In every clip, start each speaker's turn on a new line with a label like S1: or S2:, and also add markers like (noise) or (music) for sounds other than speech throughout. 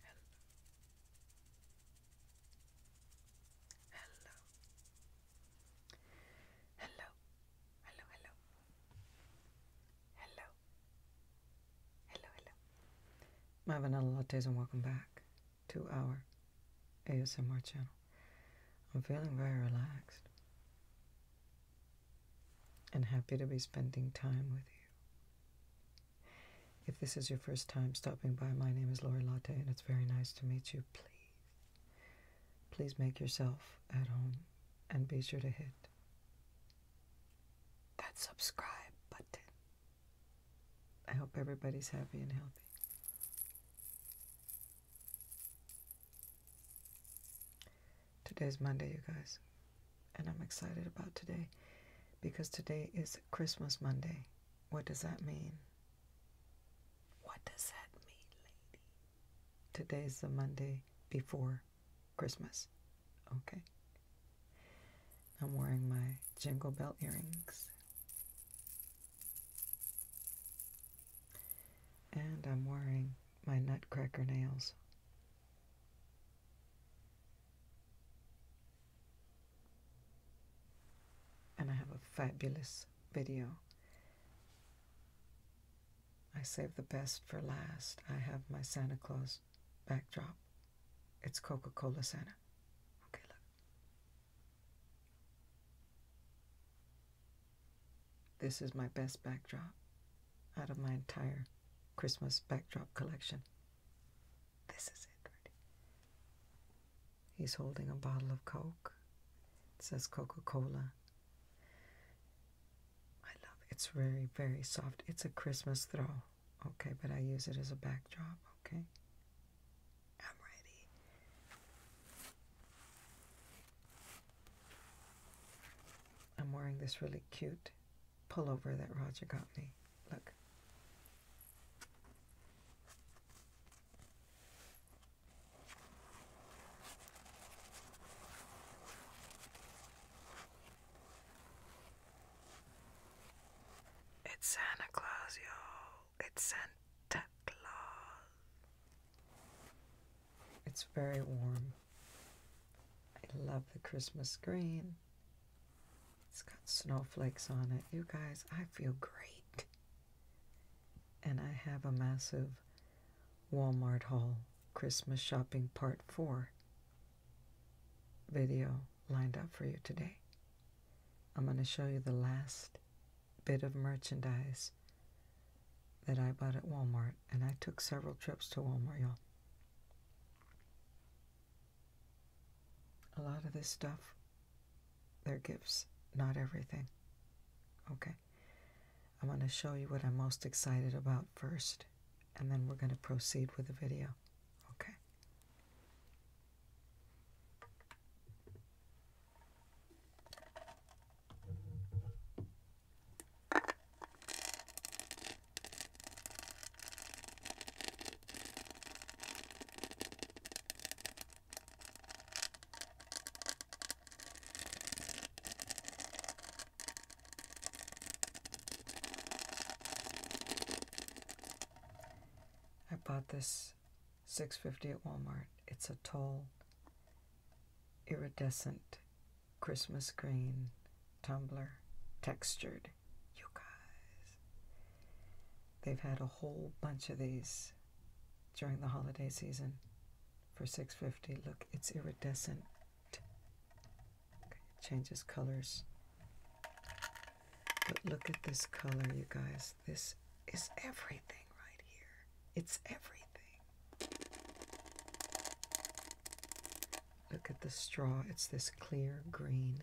S1: Hello. Hello. Hello. Hello, hello. Hello. Hello, hello. My vanilla lattes and welcome back to our ASMR channel. I'm feeling very relaxed and happy to be spending time with you. If this is your first time stopping by, my name is Lori Latte, and it's very nice to meet you. Please, please make yourself at home and be sure to hit
S2: that subscribe
S1: button. I hope everybody's happy and healthy. Today's Monday, you guys. And I'm excited about today because today is Christmas Monday. What does that mean? What does that mean, lady? Today's the Monday before Christmas. Okay. I'm wearing my jingle bell earrings. And I'm wearing my nutcracker nails. And I have a fabulous video. I save the best for last. I have my Santa Claus backdrop. It's Coca Cola Santa. Okay, look. This is my best backdrop out of my entire Christmas backdrop collection. This is it. Right? He's holding a bottle of Coke. It says Coca Cola. I love it. It's very, very soft. It's a Christmas throw. Okay, but I use it as a backdrop. Okay. I'm ready. I'm wearing this really cute pullover that Roger got me. Look.
S2: It's Santa Claus, y'all. It's Santa Claus.
S1: It's very warm. I love the Christmas green. It's got snowflakes on it. You guys, I feel great. And I have a massive Walmart haul Christmas shopping part 4 video lined up for you today. I'm going to show you the last bit of merchandise that I bought at Walmart, and I took several trips to Walmart, y'all. A lot of this stuff, they're gifts, not everything. Okay. I'm going to show you what I'm most excited about first, and then we're going to proceed with the video. Okay. I bought this 650 at Walmart. It's a toll iridescent Christmas green tumbler, textured. You guys, they've had a whole bunch of these during the holiday season for 650 look it's iridescent okay, changes colors but look at this color you guys this is everything right here it's everything Look at the straw, it's this clear green.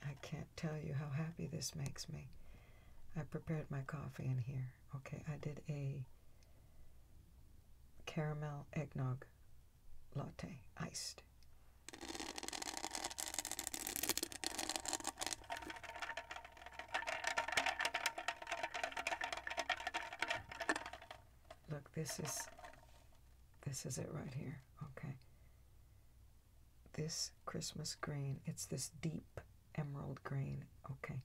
S1: I can't tell you how happy this makes me. I prepared my coffee in here. Okay, I did a caramel eggnog latte iced. Look, this is this is it right here. Okay. This Christmas green, it's this deep emerald green. Okay.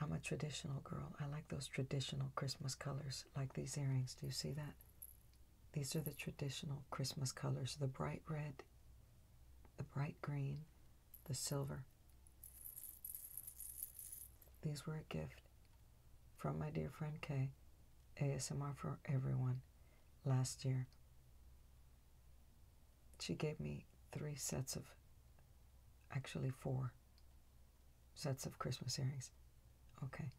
S1: I'm a traditional girl. I like those traditional Christmas colors, like these earrings. Do you see that? These are the traditional Christmas colors the bright red, the bright green, the silver. These were a gift from my dear friend Kay, ASMR for Everyone, last year. She gave me three sets of, actually four, sets of Christmas earrings. Okay.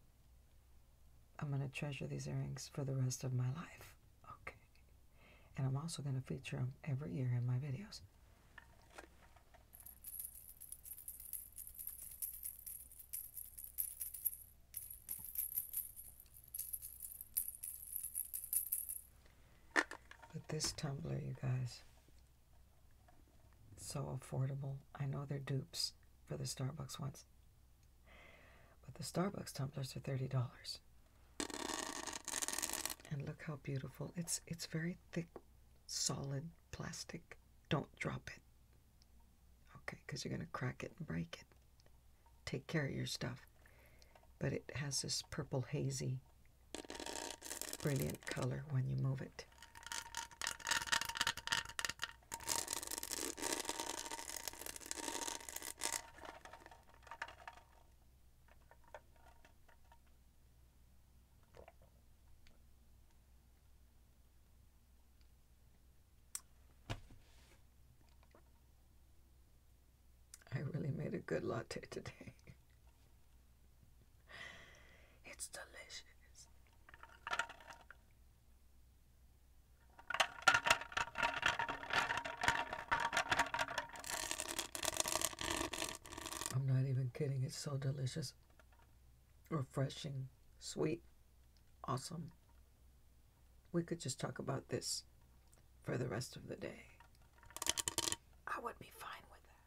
S1: I'm going to treasure these earrings for the rest of my life. Okay. And I'm also going to feature them every year in my videos. But this tumbler, you guys, so affordable. I know they're dupes for the Starbucks ones. But the Starbucks tumblers are $30. And look how beautiful. It's it's very thick, solid plastic. Don't drop it. Okay, because you're going to crack it and break it. Take care of your stuff. But it has this purple hazy brilliant color when you move it. I really made a good latte today. (laughs) It's delicious. I'm not even kidding, it's so delicious. Refreshing, sweet, awesome. We could just talk about this for the rest of the day. I would be fine with that.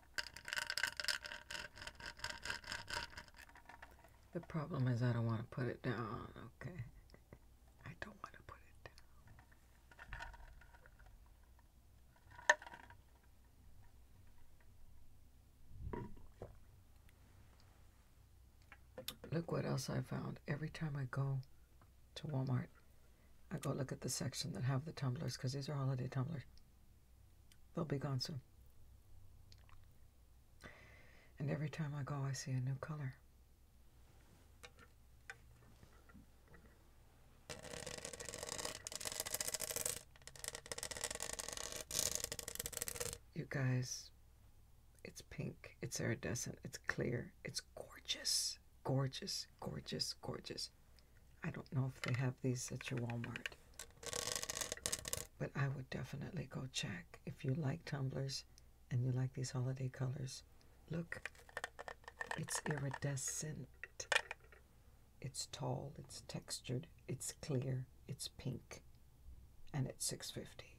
S1: The problem is I don't want to put it down, okay? I don't want to put it down. Look what else I found every time I go to Walmart I go look at the section that have the tumblers because these are holiday tumblers. They'll be gone soon. And every time I go, I see a new color. You guys, it's pink, it's iridescent, it's clear, it's gorgeous, gorgeous, gorgeous, gorgeous. I don't know if they have these at your Walmart. But I would definitely go check. If you like tumblers and you like these holiday colors, look, it's iridescent. It's tall, it's textured, it's clear, it's pink, and it's 650.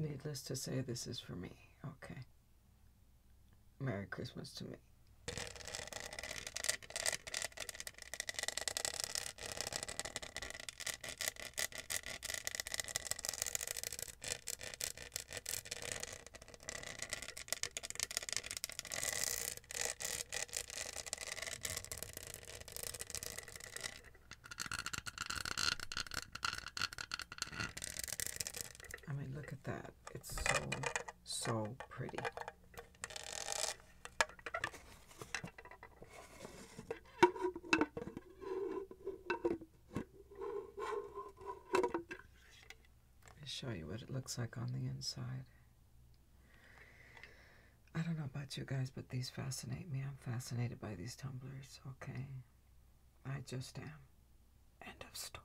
S1: Needless to say, this is for me. Okay. Merry Christmas to me. I mean, look at that. It's so, so pretty. Let me show you what it looks like on the inside. I don't know about you guys, but these fascinate me. I'm fascinated by these tumblers, okay? I just am. End of story.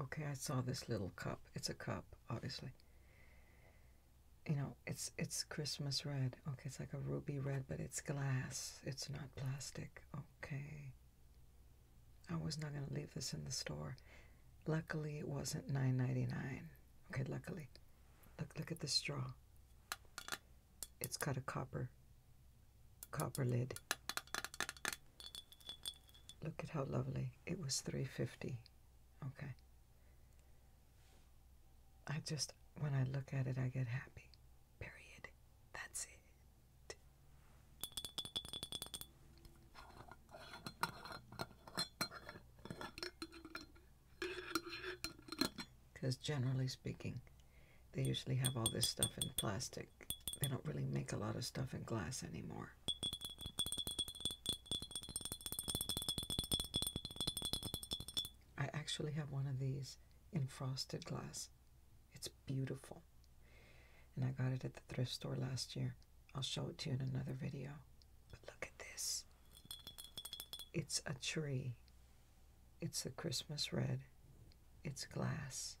S1: Okay, I saw this little cup. It's a cup, obviously. You know, it's it's Christmas red. Okay, it's like a ruby red, but it's glass. It's not plastic. Okay. I was not going to leave this in the store. Luckily, it was not ninety nine. Okay, luckily. Look, look at the straw. It's got a copper, copper lid. Look at how lovely. It was 350. Okay. I just when I look at it I get happy.
S2: Period. That's it.
S1: Because generally speaking, they usually have all this stuff in plastic they don't really make a lot of stuff in glass anymore. I actually have one of these in frosted glass. It's beautiful. And I got it at the thrift store last year. I'll show it to you in another video. But look at this. It's a tree. It's the Christmas red. It's glass.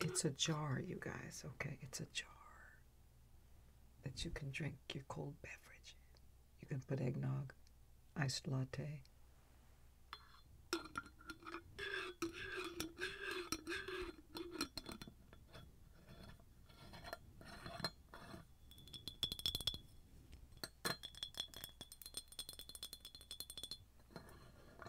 S1: It's a jar, you guys, okay? It's a jar that you can drink your cold beverage. You can put eggnog, iced latte.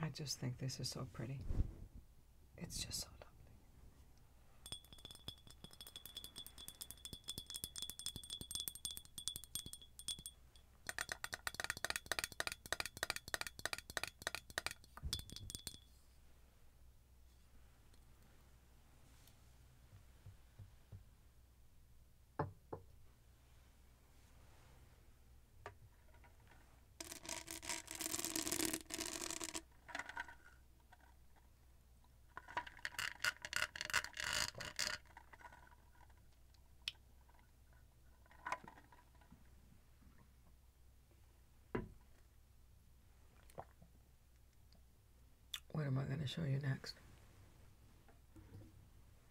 S1: I just think this is so pretty. It's just so lovely. What am I going to show you next?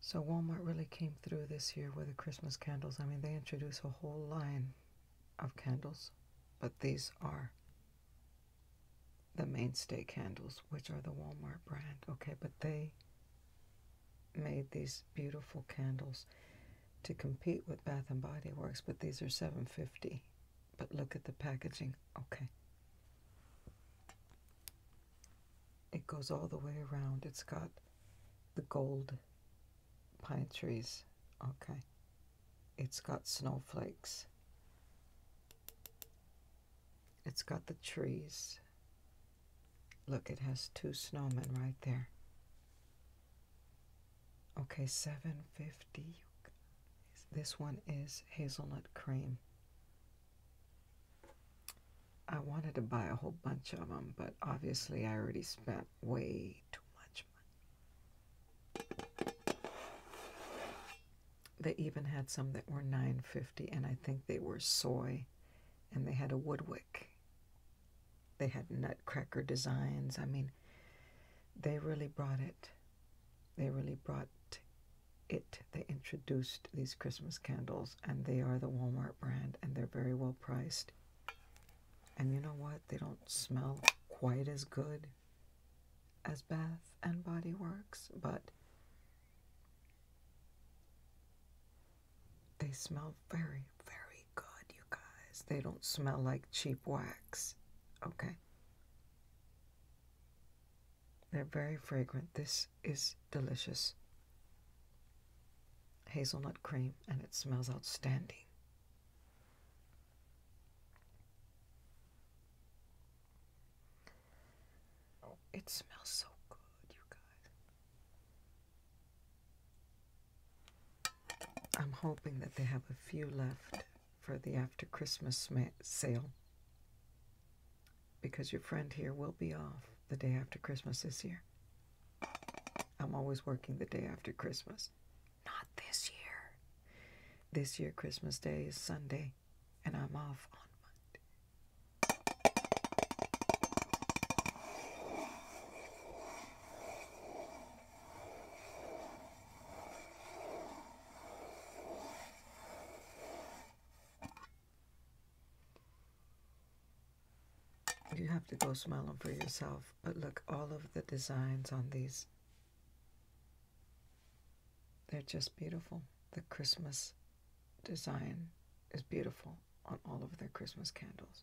S1: So Walmart really came through this year with the Christmas candles. I mean, they introduce a whole line of candles, but these are the mainstay candles, which are the Walmart brand. Okay, but they made these beautiful candles to compete with Bath and Body Works, but these are 750 but look at the packaging. Okay. It goes all the way around. It's got the gold pine trees. Okay. It's got snowflakes. It's got the trees. Look, it has two snowmen right there. Okay, seven fifty. This one is hazelnut cream. I wanted to buy a whole bunch of them, but obviously I already spent way too much money. They even had some that were nine fifty, and I think they were soy, and they had a woodwick. They had nutcracker designs. I mean, they really brought it they really brought it. They introduced these Christmas candles, and they are the Walmart brand, and they're very well priced. And you know what? They don't smell quite as good as Bath and Body Works, but they smell very, very good, you guys. They don't smell like cheap wax, okay? They're very fragrant. This is delicious. Hazelnut cream, and it smells outstanding. Oh. It smells so good, you guys. I'm hoping that they have a few left for the after Christmas sale because your friend here will be off the day after Christmas this year. I'm always working the day after Christmas. Not this year. This year, Christmas Day is Sunday, and I'm off on Monday. You have to go smell them for yourself, but look, all of the designs on these, they're just beautiful. The Christmas design is beautiful on all of their Christmas candles.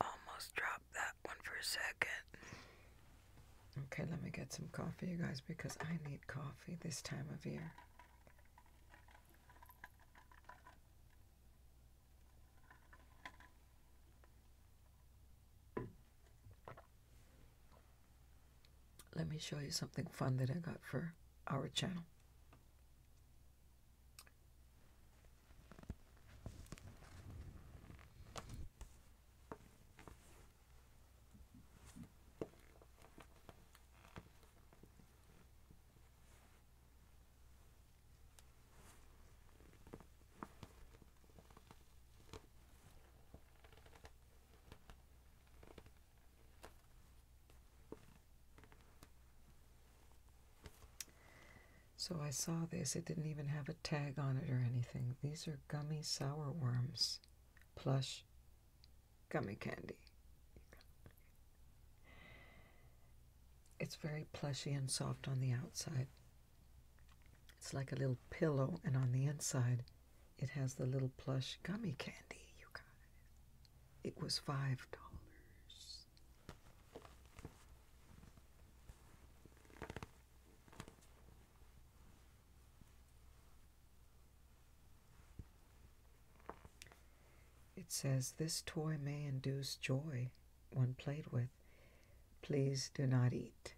S2: Almost dropped that one for a second.
S1: Okay, let me get some coffee, you guys, because I need coffee this time of year. Let me show you something fun that I got for our channel. So I saw this, it didn't even have a tag on it or anything. These are gummy sour worms, plush gummy candy. It's very plushy and soft on the outside, it's like a little pillow, and on the inside, it has the little plush gummy candy, you guys. It was $5. It says this toy may induce joy when played with. Please do not eat.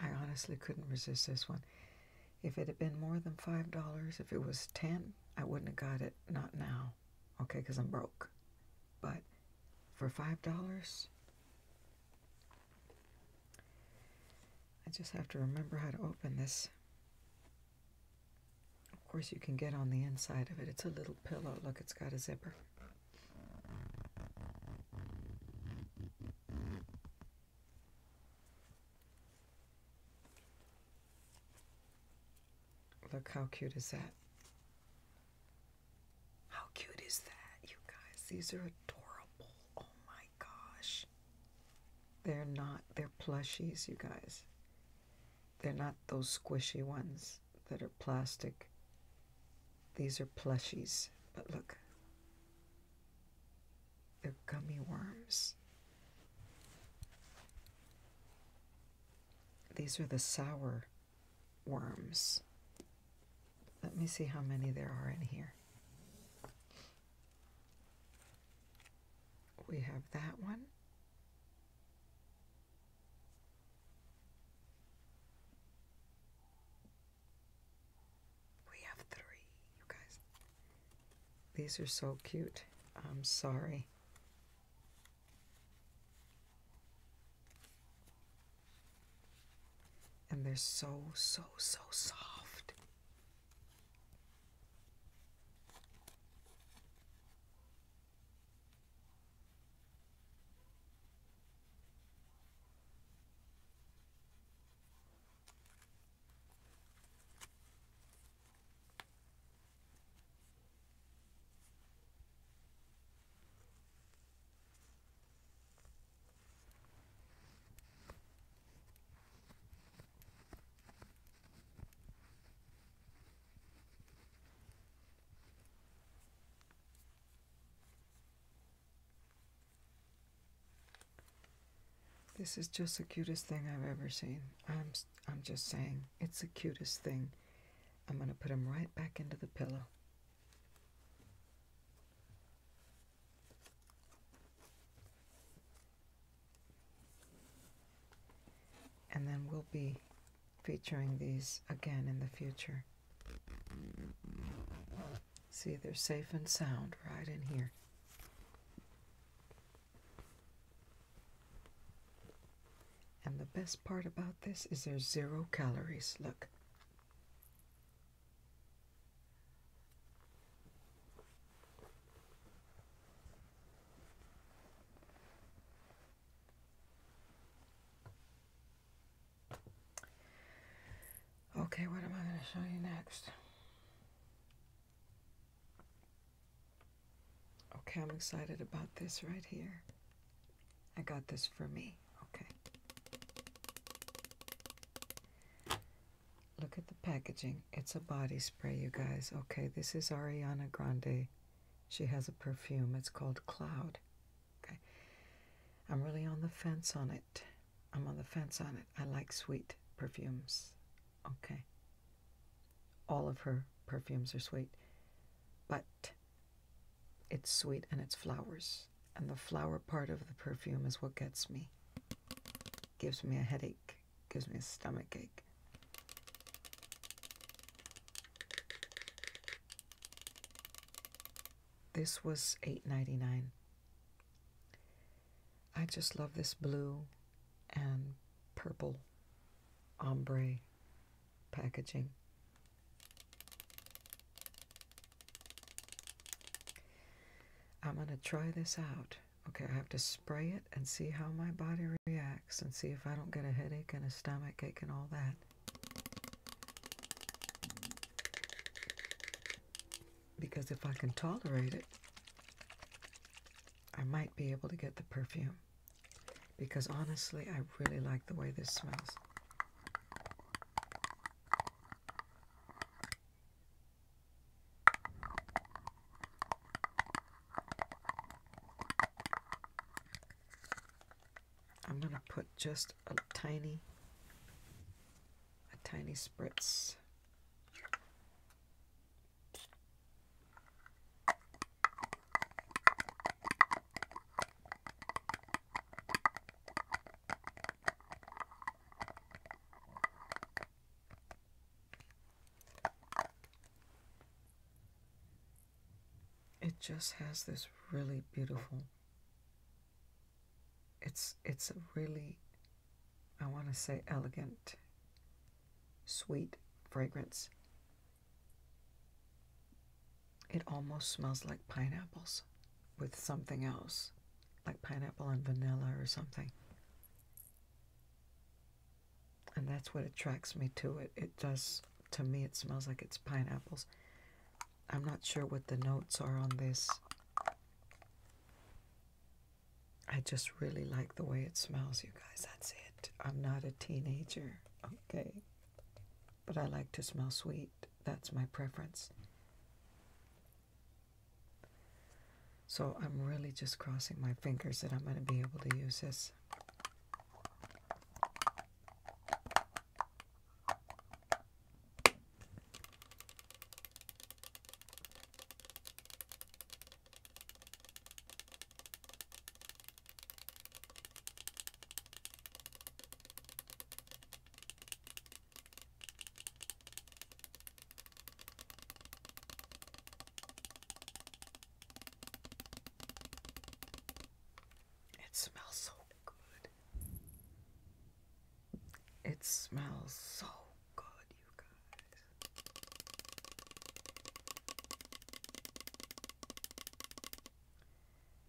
S1: I honestly couldn't resist this one. If it had been more than $5, if it was 10 I wouldn't have got it. Not now. Okay, because I'm broke. But for $5, I just have to remember how to open this. Of course, you can get on the inside of it. It's a little pillow. Look, it's got a zipper. Look, how cute is that? How cute is that, you guys? These are adorable. Oh my gosh. They're not, they're plushies, you guys. They're not those squishy ones that are plastic. These are plushies, but look. They're gummy worms. These are the sour worms. Let me see how many there are in here. We have that one. We have three, guys. These are so cute. I'm sorry. And they're so, so, so soft. This is just the cutest thing I've ever seen. I'm just saying it's the cutest thing. I'm going to put him right back into the pillow. And then we'll be featuring these again in the future. See, they're safe and sound right in here. And the best part about this is there's zero calories. Look. Okay, what am I going to show you next? Okay, I'm excited about this right here. I got this for me. Okay. Look at the packaging. It's a body spray, you guys. Okay, this is Ariana Grande. She has a perfume. It's called Cloud. Okay. I'm really on the fence on it. I'm on the fence on it. I like sweet perfumes. Okay. All of her perfumes are sweet, but it's sweet and it's flowers. And the flower part of the perfume is what gets me. Gives me a headache, gives me a stomach ache. This was eight ninety nine. I just love this blue and purple ombre packaging. I'm going to try this out. Okay, I have to spray it and see how my body reacts and see if I don't get a headache and a stomach ache and all that. Because if I can tolerate it, I might be able to get the perfume because honestly, I really like the way this smells. I'm going to put just a tiny, a tiny spritz it just has this really beautiful it's it's a really I want to say elegant sweet fragrance. It almost smells like pineapples with something else, like pineapple and vanilla or something. And that's what attracts me to it. It does, to me, it smells like it's pineapples. I'm not sure what the notes are on this. I just really like the way it smells, you guys. That's it. I'm not a teenager, okay? But I like to smell sweet. That's my preference. So I'm really just crossing my fingers that I'm going to be able to use this. It smells so good. It smells so good, you guys.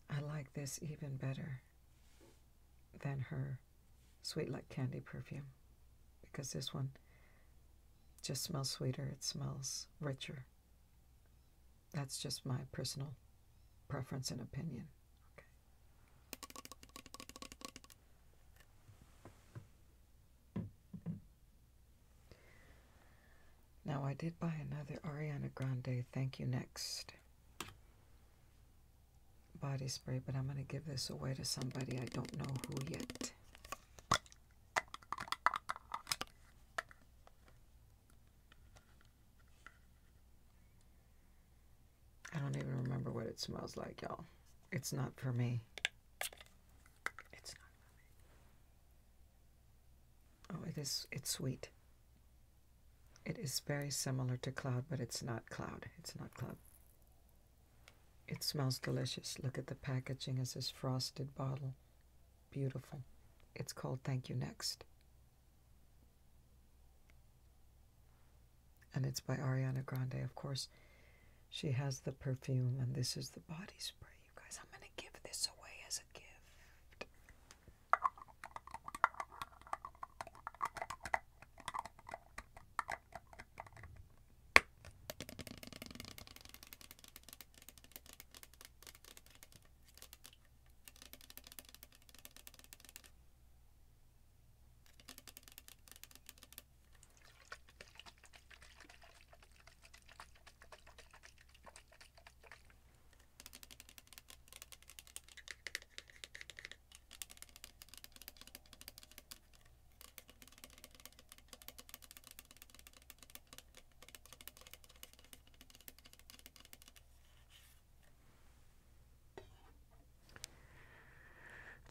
S1: I like this even better than her Sweet Like Candy perfume because this one just smells sweeter, it smells richer. That's just my personal preference and opinion. Okay. Now, I did buy another Ariana Grande Thank You Next body spray, but I'm going to give this away to somebody I don't know who yet. I don't even remember what it smells like, y'all. It's not for me. It's not Oh, it is. It's sweet. It is very similar to cloud, but it's not cloud. It's not cloud. It smells delicious. Look at the packaging as this frosted bottle. Beautiful. It's called Thank You Next. And it's by Ariana Grande, of course. She has the perfume, and this is the body spray guys. I'm gonna give this away as a gift.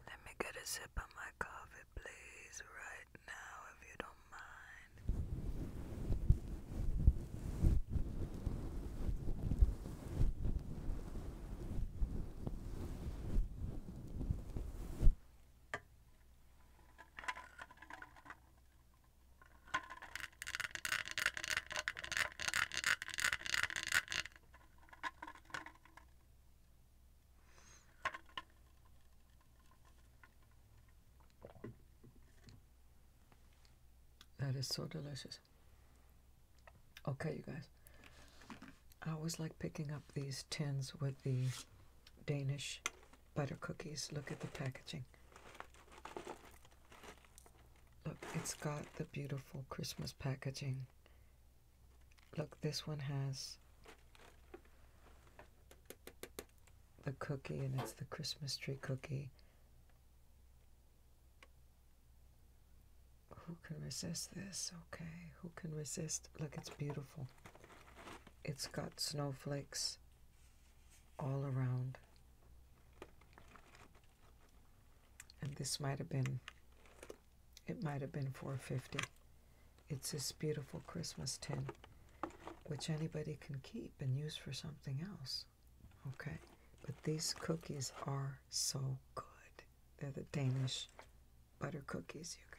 S2: Let me get a sip of my coffee, please, right right now if you don't mind.
S1: That is so delicious. Okay, you guys. I always like picking up these tins with the Danish butter cookies. Look at the packaging. Look, it's got the beautiful Christmas packaging. Look, this one has the cookie, and it's the Christmas tree cookie. Who can resist this? Okay, who can resist? Look, it's beautiful. It's got snowflakes all around. And this might have been, it might have been 450. It's this beautiful Christmas tin, which anybody can keep and use for something else. Okay? But these cookies are so good. They're the Danish butter cookies, you guys.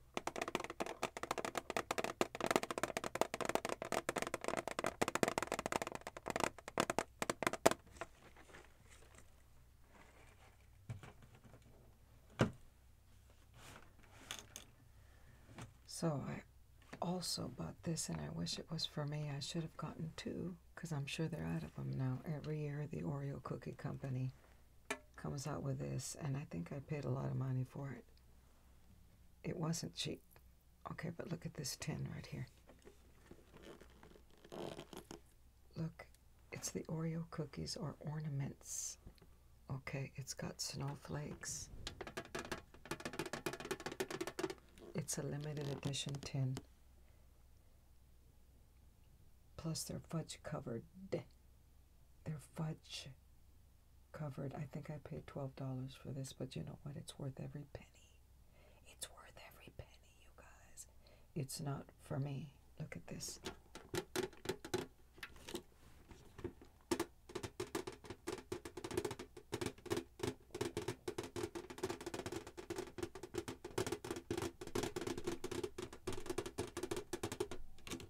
S1: So I also bought this, and I wish it was for me. I should have gotten two because I'm sure they're out of them now. Every year, the Oreo Cookie Company comes out with this, and I think I paid a lot of money for it. It wasn't cheap. Okay, but look at this tin right here. Look, it's the Oreo cookies or ornaments. Okay, it's got snowflakes. It's a limited edition tin. Plus, they're fudge covered. They're fudge covered. I think I paid $12 for this, but you know what? It's worth every penny. It's worth every penny, you guys. It's not for me. Look at this.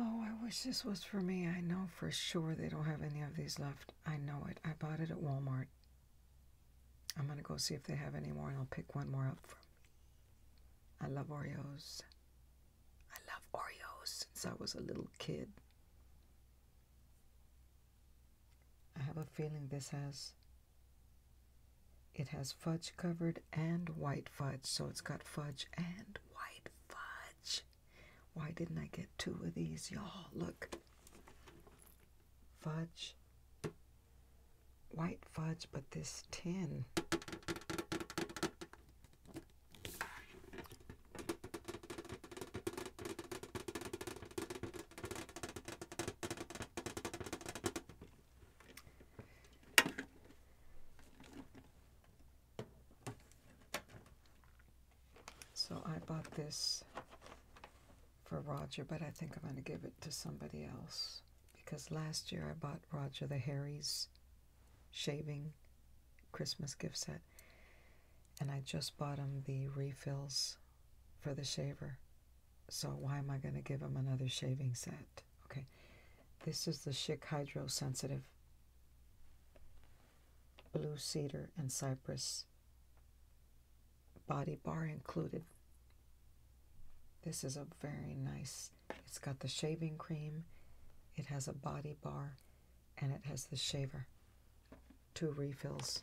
S1: Oh, I wish this was for me. I know for sure they don't have any of these left. I know it. I bought it at Walmart I'm going to go see if they have any more and I'll pick one more up from. I love Oreos. I love Oreos since I was a little kid. I have a feeling this has it has fudge covered and white fudge, so it's got fudge and white fudge. Why didn't I get two of these, y'all? Look fudge, white fudge, but this tin. So I bought this for Roger, but I think I'm going to give it to somebody else because last year I bought Roger the Harry's shaving Christmas gift set, and I just bought him the refills for the shaver. So why am I going to give him another shaving set? Okay, this is the Chic Hydro Sensitive Blue Cedar and Cypress body bar included. This is a very nice, it's got the shaving cream, it has a body bar, and it has the shaver. Two refills.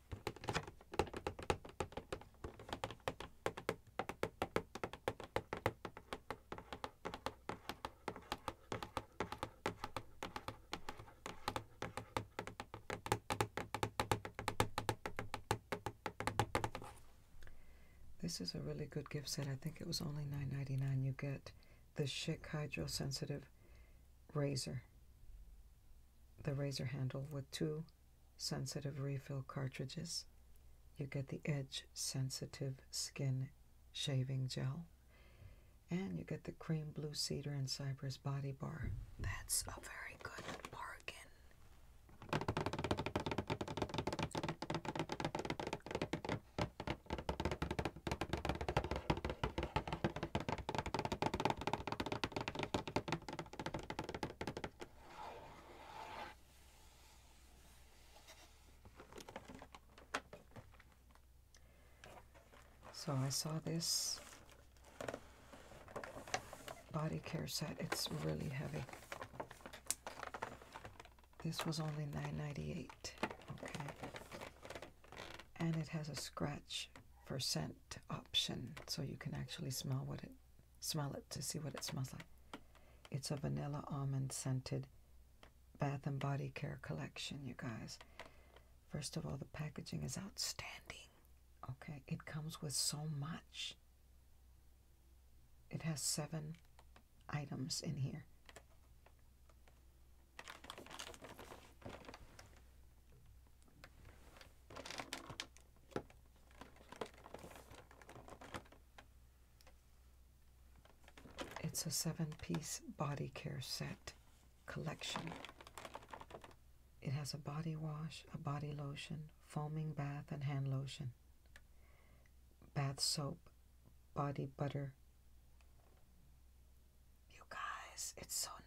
S1: This is a really good gift set. I think it was only $9.99. You get the Schick Hydro Sensitive razor the razor handle with two sensitive refill cartridges. You get the edge sensitive skin shaving gel. And you get the cream blue cedar and cypress body bar. That's a very good bargain. So I saw this body care set. It's really heavy. This was only 9.98, Okay. And it has a scratch for scent option so you can actually smell what it smell it to see what it smells like. It's a vanilla almond scented bath and body care collection, you guys. First of all, the packaging is outstanding. Okay, it comes with so much. It has seven items in here. It's a seven piece body care set collection. It has a body wash, a body lotion, foaming bath and hand lotion, bath soap, body butter.
S2: You guys, it's so nice.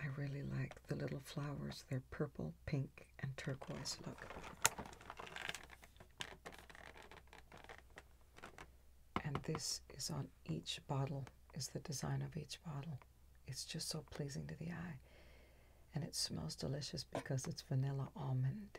S1: I really like the little flowers, they're purple, pink, and turquoise look. And this is on each bottle, is the design of each bottle. It's just so pleasing to the eye. And it smells delicious because it's vanilla almond.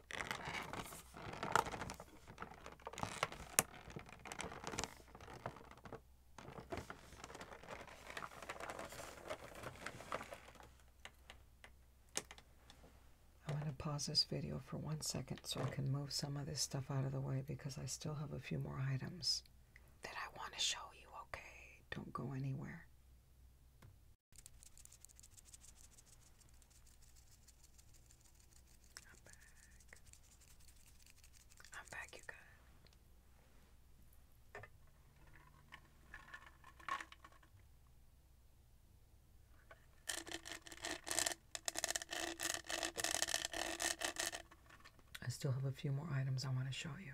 S1: I'm going to pause this video for one second so I can move some of this stuff out of the way because I still have a few more items that I want to show you, okay? Don't go anywhere. I'm back. I'm back, you guys. I still have a few more items I want to show you.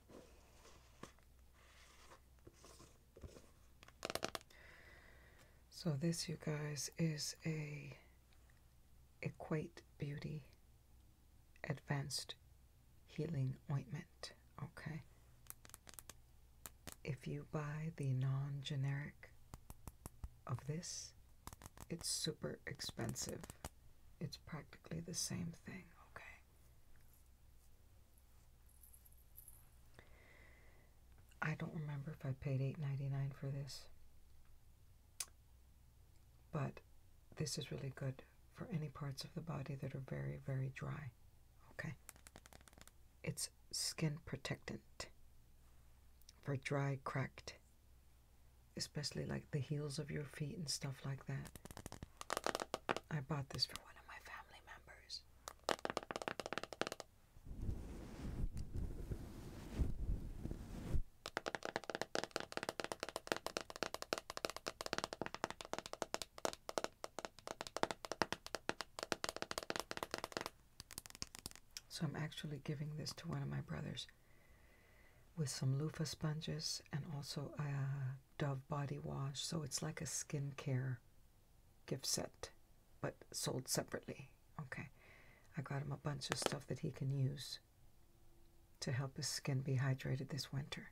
S1: So this, you guys, is a Equate Beauty Advanced Healing Ointment, okay? If you buy the non-generic of this, it's super expensive. It's practically the same thing, okay? I don't remember if I paid $8.99 for this, but this is really good for any parts of the body that are very, very dry. Okay? It's skin protectant for dry, cracked, especially like the heels of your feet and stuff like that. I bought this for one of my family members. So I'm actually giving this to one of my brothers with some loofah sponges and also uh, Dove body wash, so it's like a skincare gift set, but sold separately. Okay, I got him a bunch of stuff that he can use to help his skin be hydrated this winter.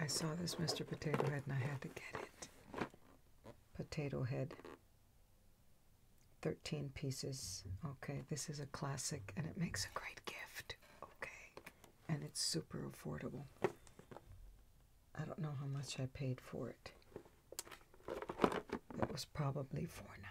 S1: I saw this Mr. Potato Head and I had to get it. Potato Head. 13 pieces. Okay, this is a classic and it makes a great gift okay, and it's super affordable. I don't know how much I paid for it. It was probably four ninety.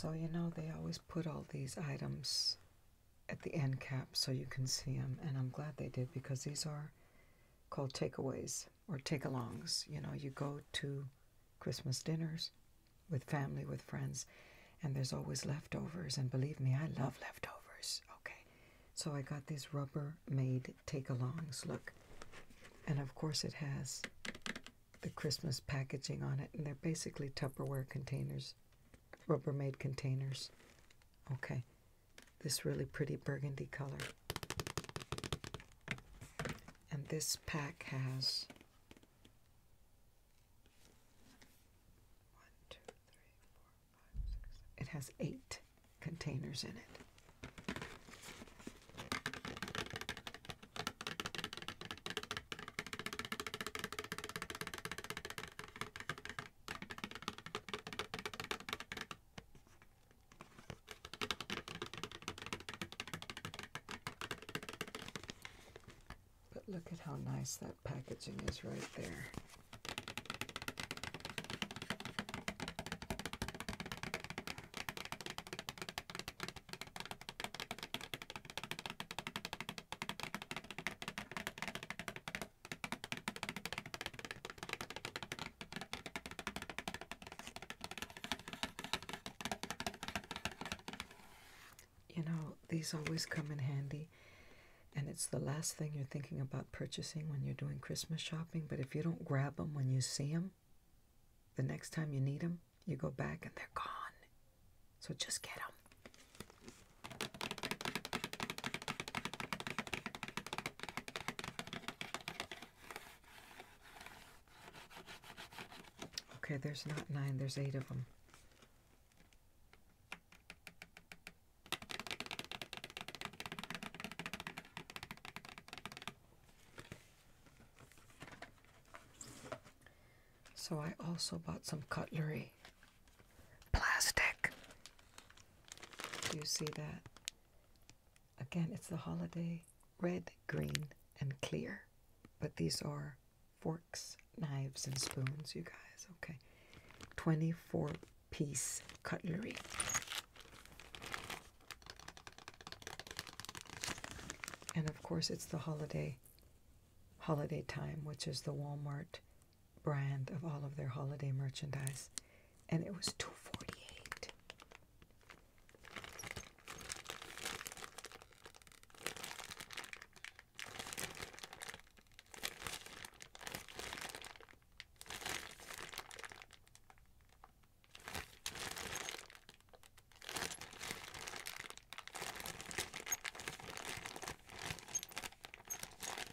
S1: So, you know, they always put all these items at the end cap so you can see them. And I'm glad they did because these are called takeaways or take alongs. You know, you go to Christmas dinners with family, with friends, and there's always leftovers. And believe me, I love leftovers. Okay. So I got these Rubbermaid made take alongs. Look. And of course, it has the Christmas packaging on it. And they're basically Tupperware containers, Rubbermaid containers Okay, this really pretty burgundy color. And this pack has one, two, three, four, five, six. It has eight containers in it. But look at how nice that packaging is right there. You know, these always come in handy, and it's the last thing you're thinking about purchasing when you're doing Christmas shopping. But if you don't grab them when you see them, the next time you need them, you go back and they're gone. So just get them. Okay, there's not nine, there's eight of them. So I also bought some cutlery Plastic. Do you see that? Again, it's the holiday red, green, and clear. But these are forks, knives, and spoons, you guys. Okay. 24 piece cutlery. And of course, it's the holiday holiday time, which is the Walmart brand of all of their holiday merchandise, and it was two forty eight.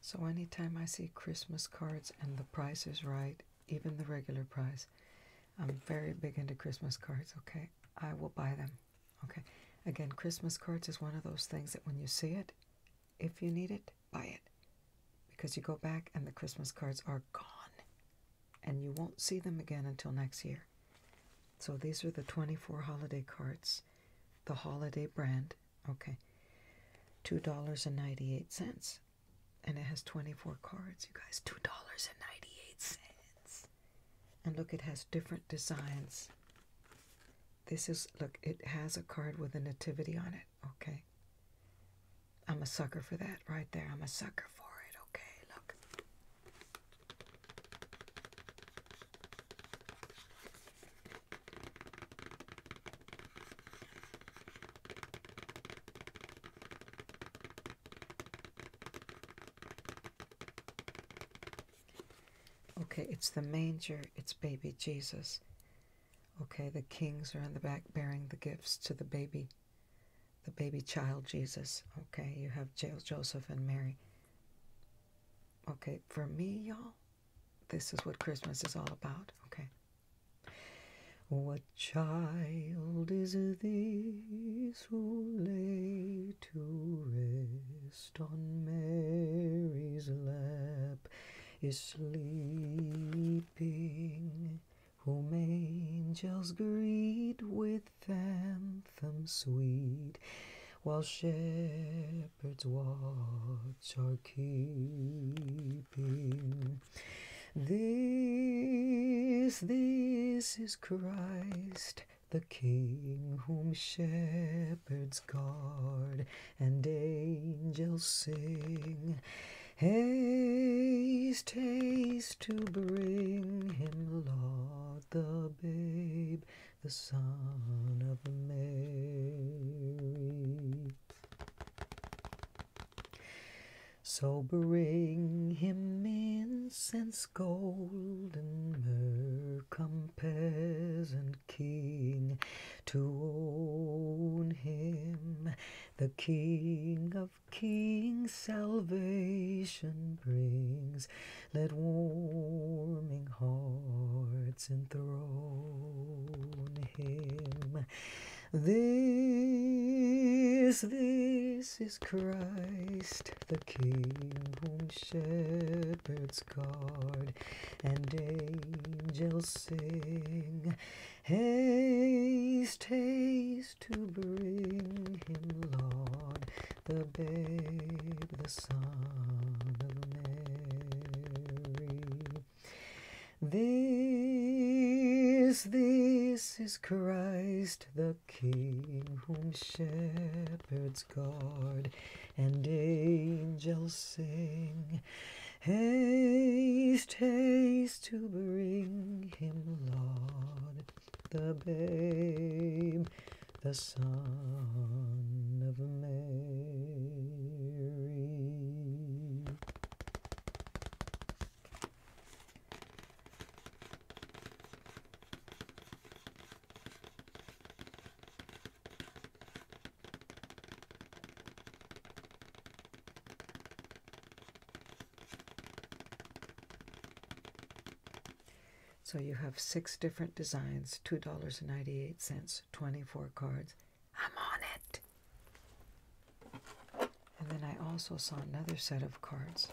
S1: So anytime I see Christmas cards and the price is right, even the regular price, I'm very big into Christmas cards, okay? I will buy them, okay? Again, Christmas cards is one of those things that when you see it, if you need it, buy it. Because you go back and the Christmas cards are gone. And you won't see them again until next year. So these are the 24 holiday cards, the holiday brand. Okay. $2.98. And it has 24 cards, you guys.
S2: $2.98.
S1: And look, it has different designs. This is, look, it has a card with a nativity on it. Okay. I'm a sucker for that right there. I'm a sucker for it. Okay, look. Okay, it's the manger, it's baby Jesus. Okay, the kings are in the back bearing the gifts to the baby, the baby child Jesus. Okay, you have Joseph and Mary. Okay, for me, y'all, this is what Christmas is all about. Okay. What child
S2: is this who lay to rest on Mary's lap? is sleeping, whom angels greet with anthem sweet, while shepherds watch are keeping. This, this is Christ, the King whom shepherds guard, and angels sing. Haste, haste to bring him, Lord, the babe, the son of Mary. So bring him incense, gold, and myrrh, come peasant king, to own him the King of Kings salvation brings. Let warming hearts enthrone him. This, this is Christ, the King whom shepherds guard and angels sing. Haste, haste to bring him, Lord, the babe, the son of Mary. This, this is Christ the King, whom shepherds guard and angels sing. Haste, haste to bring him, Lord, the babe, the Son of Mary.
S1: So you have six different designs, $2.98, 24 cards. I'm on it! And then I also saw another set of cards.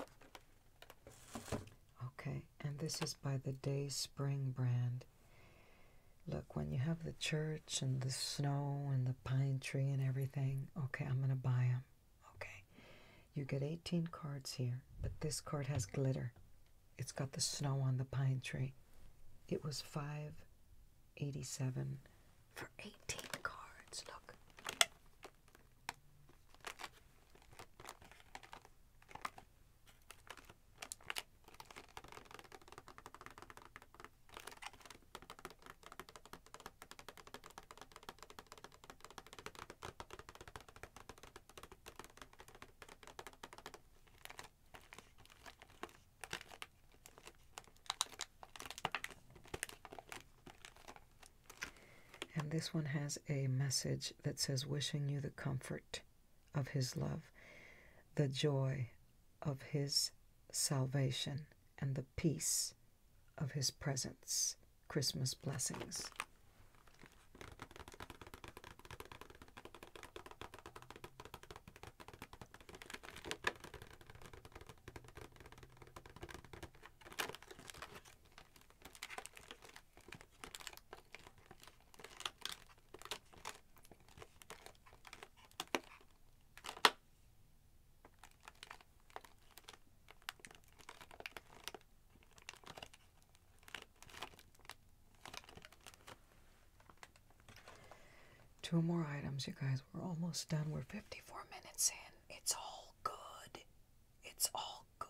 S1: Okay, and this is by the Day Spring brand. Look, when you have the church, and the snow and the pine tree and everything. Okay, I'm going to buy them. Okay. You get 18 cards here, but this card has glitter. It's got the snow on the pine tree. It was 587 for
S2: 18 cards. Look.
S1: And this one has a message that says, Wishing you the comfort of His love, the joy of His salvation, and the peace of his presence. Christmas blessings. Two more items, you guys. We're almost done. We're 54 minutes in. It's all
S2: good. It's all good.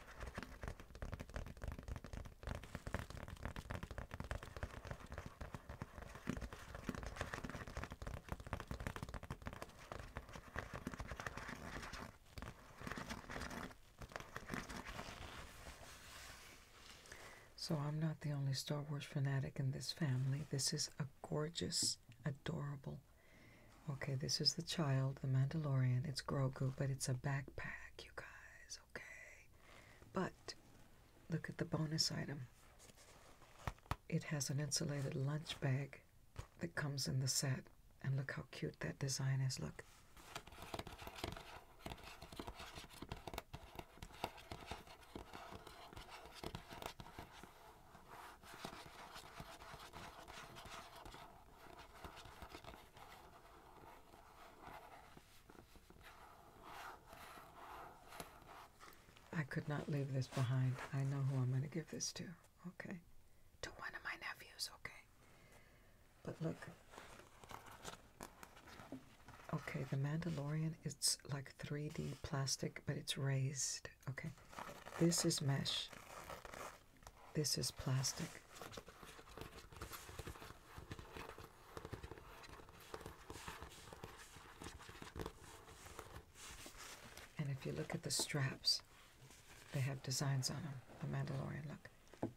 S1: So, I'm not the only Star Wars fanatic in this family. This is a gorgeous, adorable Okay, this is the child, the Mandalorian. It's Grogu, but it's a backpack, you guys, okay? But look at the bonus item. It has an insulated lunch bag that comes in the set. And look how cute that design is. Look. I could not leave this behind. I know who I'm going to give this to. Okay. To one of my nephews, okay. But look. Okay, The Mandalorian, it's like 3D plastic, but it's raised. Okay. This is mesh. This is plastic. And if you look at the straps, they have designs on them. The Mandalorian, look.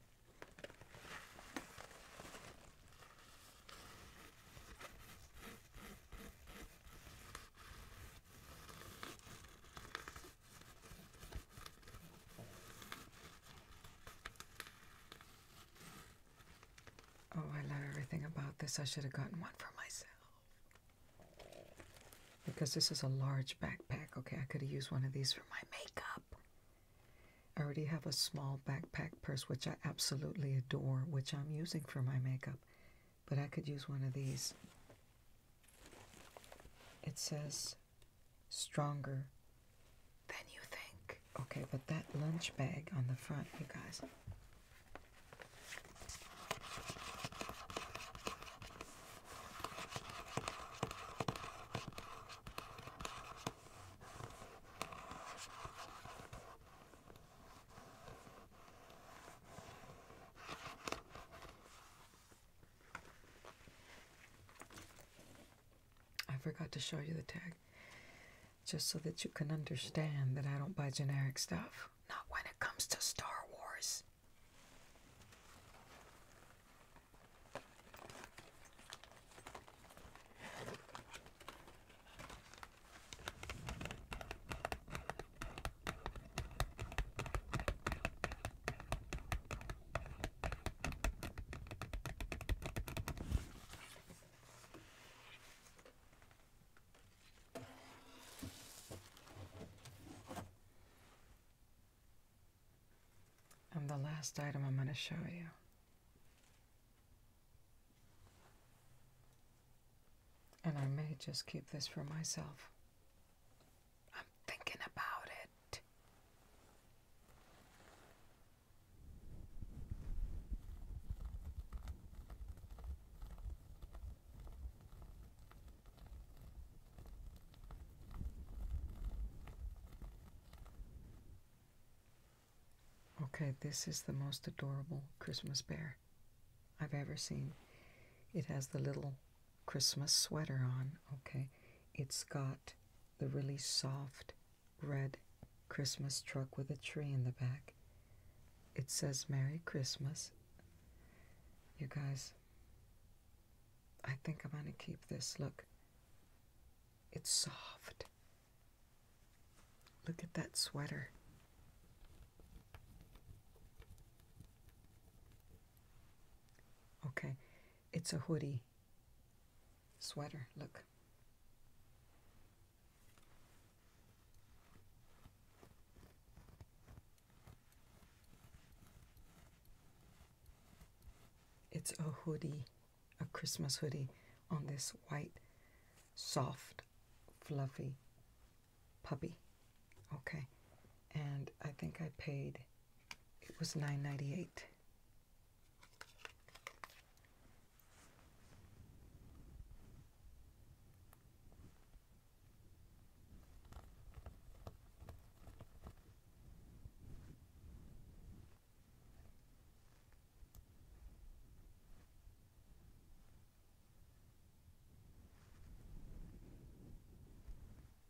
S1: Oh, I love everything about this. I should have gotten one for myself. Because this is a large backpack. Okay, I could have used one of these for my makeup. I already have a small backpack purse, which I absolutely adore, which I'm using for my makeup. But I could use one of these. It says stronger than you think. Okay, but that lunch bag on the front, you guys. I forgot to show you the tag just so that you can understand that I don't buy generic stuff. Not when it comes to Star Wars. And the last item I'm going to show you. And I may just keep this for myself. I'm thinking about it. Okay, this is the most adorable Christmas bear I've ever seen. It has the little Christmas sweater on, okay? It's got the really soft red Christmas truck with a tree in the back. It says Merry Christmas. You guys, I think I'm going to keep this. Look, it's soft. Look at that sweater. Okay, it's a hoodie sweater. Look. It's a hoodie, a Christmas hoodie on this white, soft, fluffy puppy. Okay. And I think I paid it was 9.98.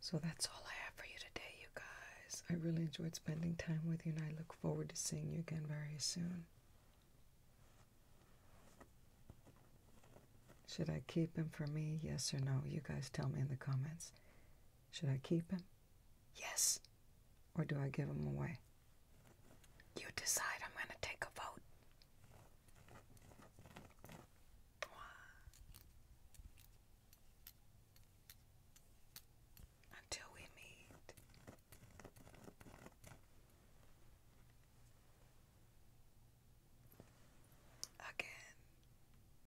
S1: So that's all I have for you today, you guys. I really enjoyed spending time with you, and I look forward to seeing you again very soon. Should I keep him for me, yes or no? You guys tell me in the comments. Should I keep him? Yes. Or do I give him away? You decide. I'm going to take a vote. Until we meet. Again.